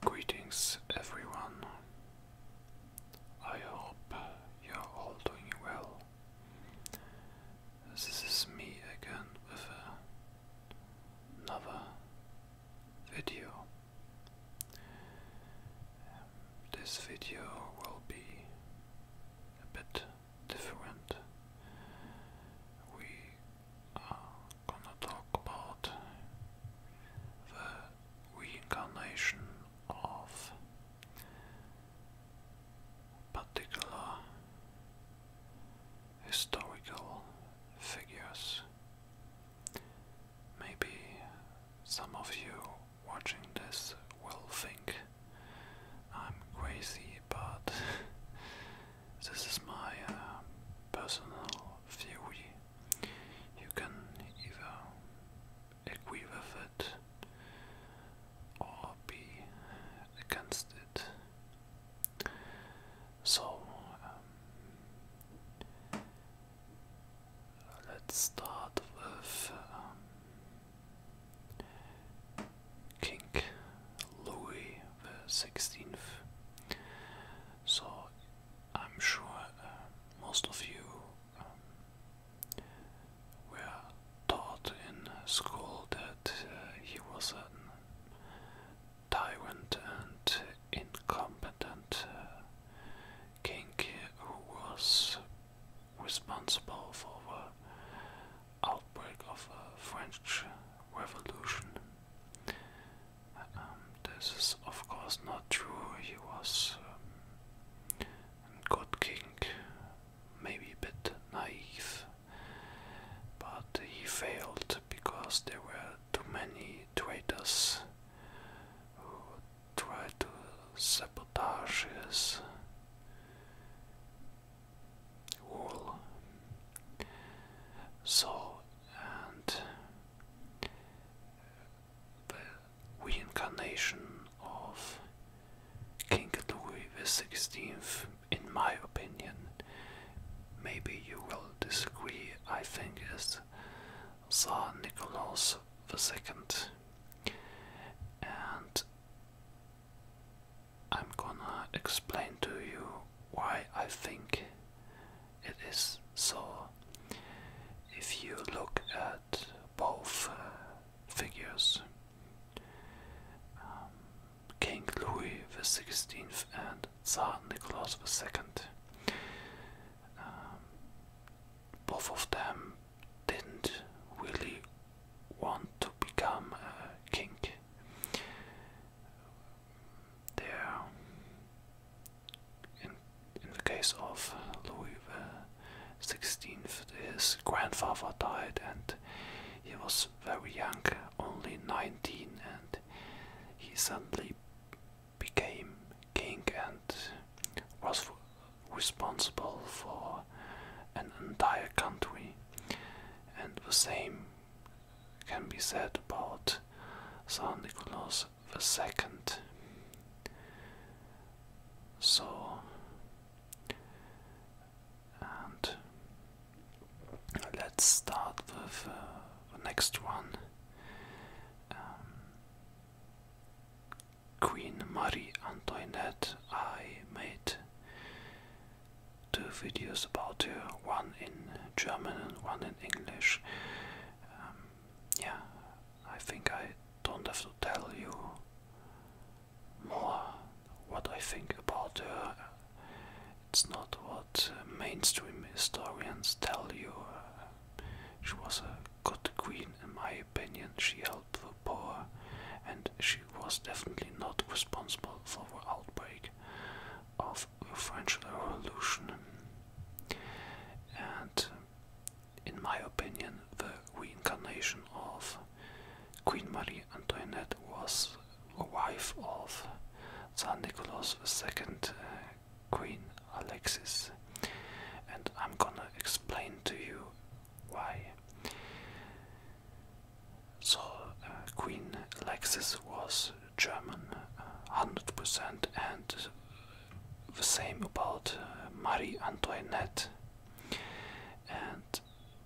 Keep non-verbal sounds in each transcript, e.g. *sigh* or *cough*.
Greetings, everyone. I hope you're all doing well. This is me again with another video. This video will be a bit different. We are gonna talk about the reincarnation of particular historical figures. Maybe some of you watching this will think I'm crazy, but *laughs* This is my uh, personal theory. You can either agree with it or be against it. So, um, let's start with um, King Louis the Sixteenth. So I'm sure uh, most of you um, were taught in school that uh, he was a tyrant and incompetent uh, king who was responsible for the outbreak of a French Revolution. Um, this is, of course, not true. He was a um, good king, maybe a bit naive, but he failed because there were too many traitors who tried to sabotage his wall. So, and the reincarnation of King Louis XVI, in my opinion, maybe you will disagree, I think, is Tsar Nicholas II. And I'm gonna explain to you why I think it is so. If you look at both uh, figures, um, King Louis the Sixteenth and Tsar Nicholas the Second, um, both of them didn't really want to become a king. There, in, the case of Louis XVI, his grandfather died and he was very young, only 19, and he suddenly became king and was responsible for an entire country, and the same can be said about Tsar Nicholas II. So, let's start with uh, the next one. Um, Queen Marie Antoinette, I made two videos about her, one in German and one in English. Um, yeah, I think I don't have to tell you more what I think about her. It's not what mainstream historians tell you. She was a good queen in my opinion. She helped the poor and she was definitely not responsible for the outbreak of the French Revolution. And in my opinion, the reincarnation of Queen Marie Antoinette was the wife of Tsar Nicholas II, uh, Queen Alexis. And I'm gonna explain to you why. So uh, Queen Alexis was German, uh, hundred percent, and the same about uh, Marie Antoinette, and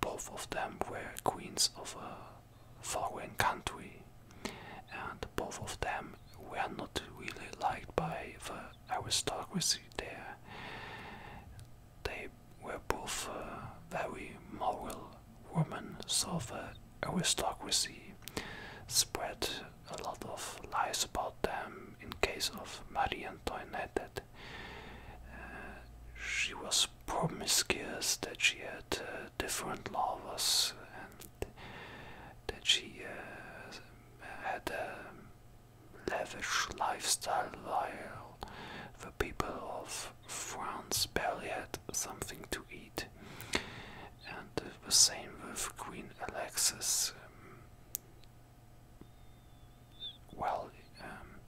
both of them were queens of a foreign country, and both of them were not really liked by the I was stuck with it there. They were both uh, very moral women, so the aristocracy spread a lot of lies about them in case of Marie Antoinette. That, uh, she was promiscuous, that she had uh, different lovers, and that she uh, had um, lavish lifestyle while the people of France barely had something to eat. And the same with Queen Alexis. Um, well, um,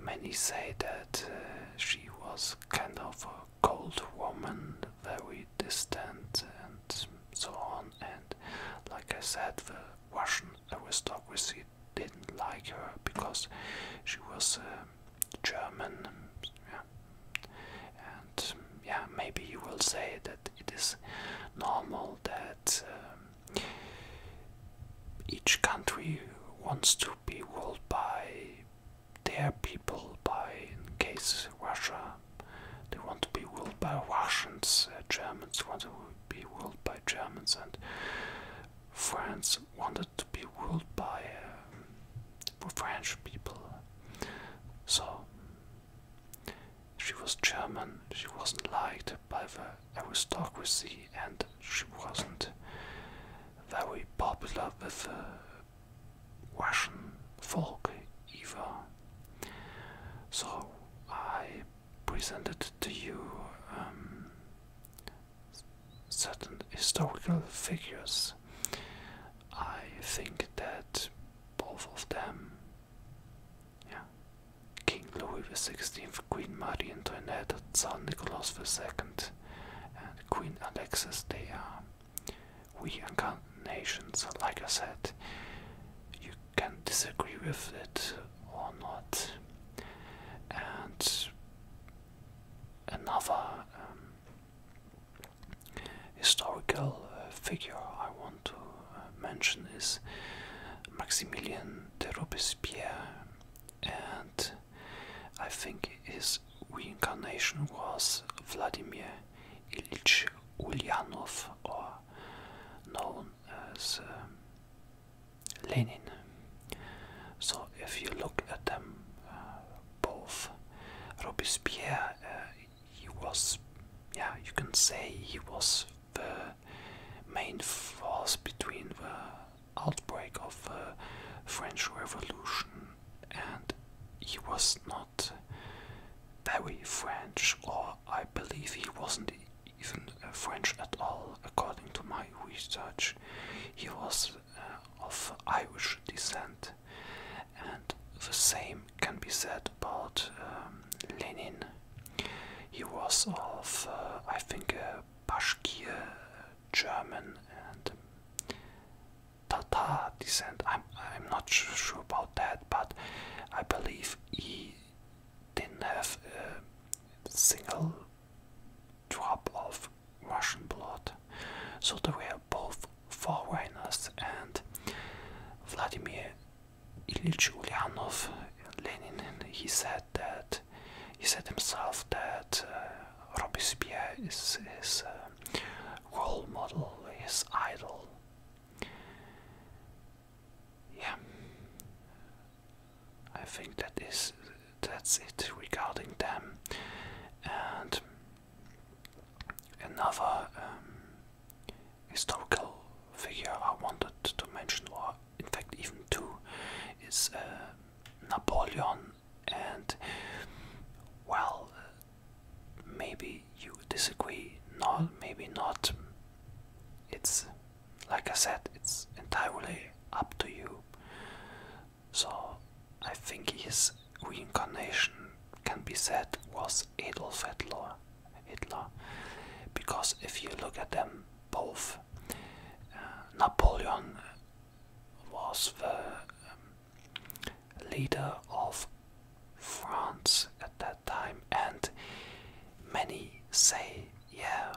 many say that uh, she was kind of a cold woman, very distant and so on. And like I said, the Russian aristocracy didn't like her because she was uh, German. Yeah. And yeah, maybe you will say that it is normal that um, each country wants to be ruled by their people, by in case Russia they wanted to be ruled by Russians, uh, Germans wanted to be ruled by Germans, and France wanted to be ruled by um, French people. So she was German, she wasn't liked by the aristocracy, and she wasn't very popular with the Russian folk either. So I presented to you um, certain historical figures. I think that both of them, yeah, King Louis XVI, Queen Marie Antoinette, son Nicholas II, and Queen Alexis, they are we incarnations, like I said, you can disagree with it or not. And another um, historical uh, figure I want to uh, mention is Maximilian de Robespierre, and I think his reincarnation was Vladimir Ilch Ulyanov, or known as Lenin. Э, so, if you look at them э, both, Robespierre, э, he was, yeah, you can say he was the main force between the outbreak of French Revolution and he was not very French, or I believe he wasn't even uh, French at all, according to my research. He was uh, of Irish descent, and the same can be said about um, Lenin. He was of, uh, I think, Bashkir, German, and Tata descent. I'm I'm not sure, about that, but I believe he didn't have a single drop of Russian blood. So we are both foreigners, and Vladimir Ilyich Ulyanov, Lenin, he said that he said himself that. Uh, Robespierre is his uh, role model, his idol. Yeah, I think that is that's it regarding them. And another um, historical figure I wanted to mention, or in fact even two, is uh, Napoleon and well maybe you disagree not maybe not it's like i said it's entirely up to you so i think his reincarnation can be said was adolf hitler hitler because if you look at them both uh, napoleon was the um, leader of France at that time, and many say, yeah,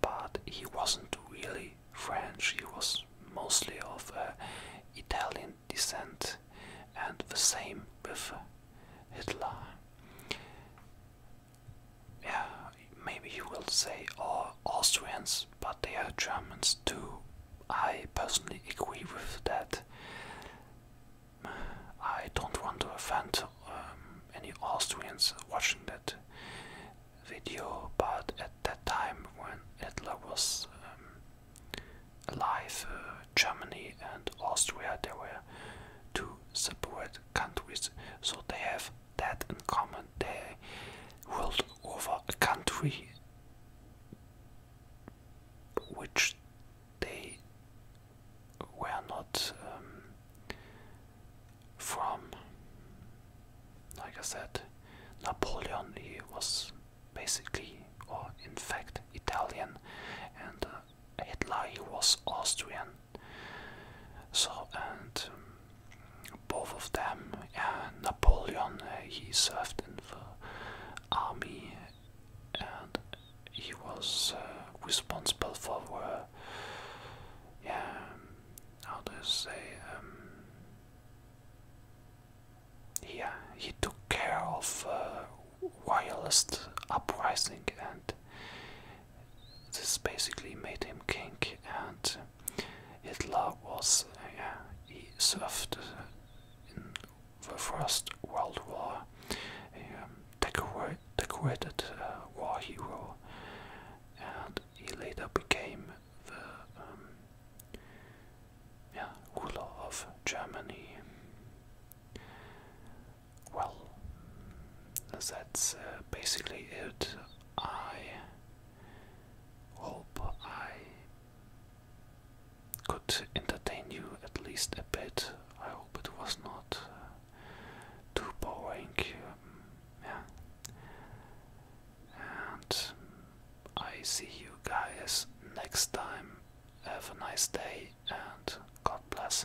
but he wasn't really French, he was mostly of uh, Italian descent, and the same with Hitler. Yeah, maybe you will say, or oh, Austrians, but they are Germans too. I personally agree with that. I don't want to offend um, any Austrians watching that video, but at that time when Hitler was um, alive, uh, Germany and Austria, they were two separate countries, so they have that in common. They ruled over a country which they were not um, from. Like I said, Napoleon he was basically, or in fact, Italian, and uh, Hitler he was Austrian. So and. Um, both of them. Uh, Napoleon, he served in the army and he was uh, responsible for, uh, yeah, how do say, um, yeah, he took care of uh, royalist uprising and this basically made him king, and Hitler was yeah, he served in the First World War, um, a decorated war hero, and he later became the um, yeah, ruler of Germany. Well, that's uh, basically it. I hope I could entertain you at least a bit. I hope it was not uh, too boring. Um, yeah. And I see you guys next time. Have a nice day and God bless.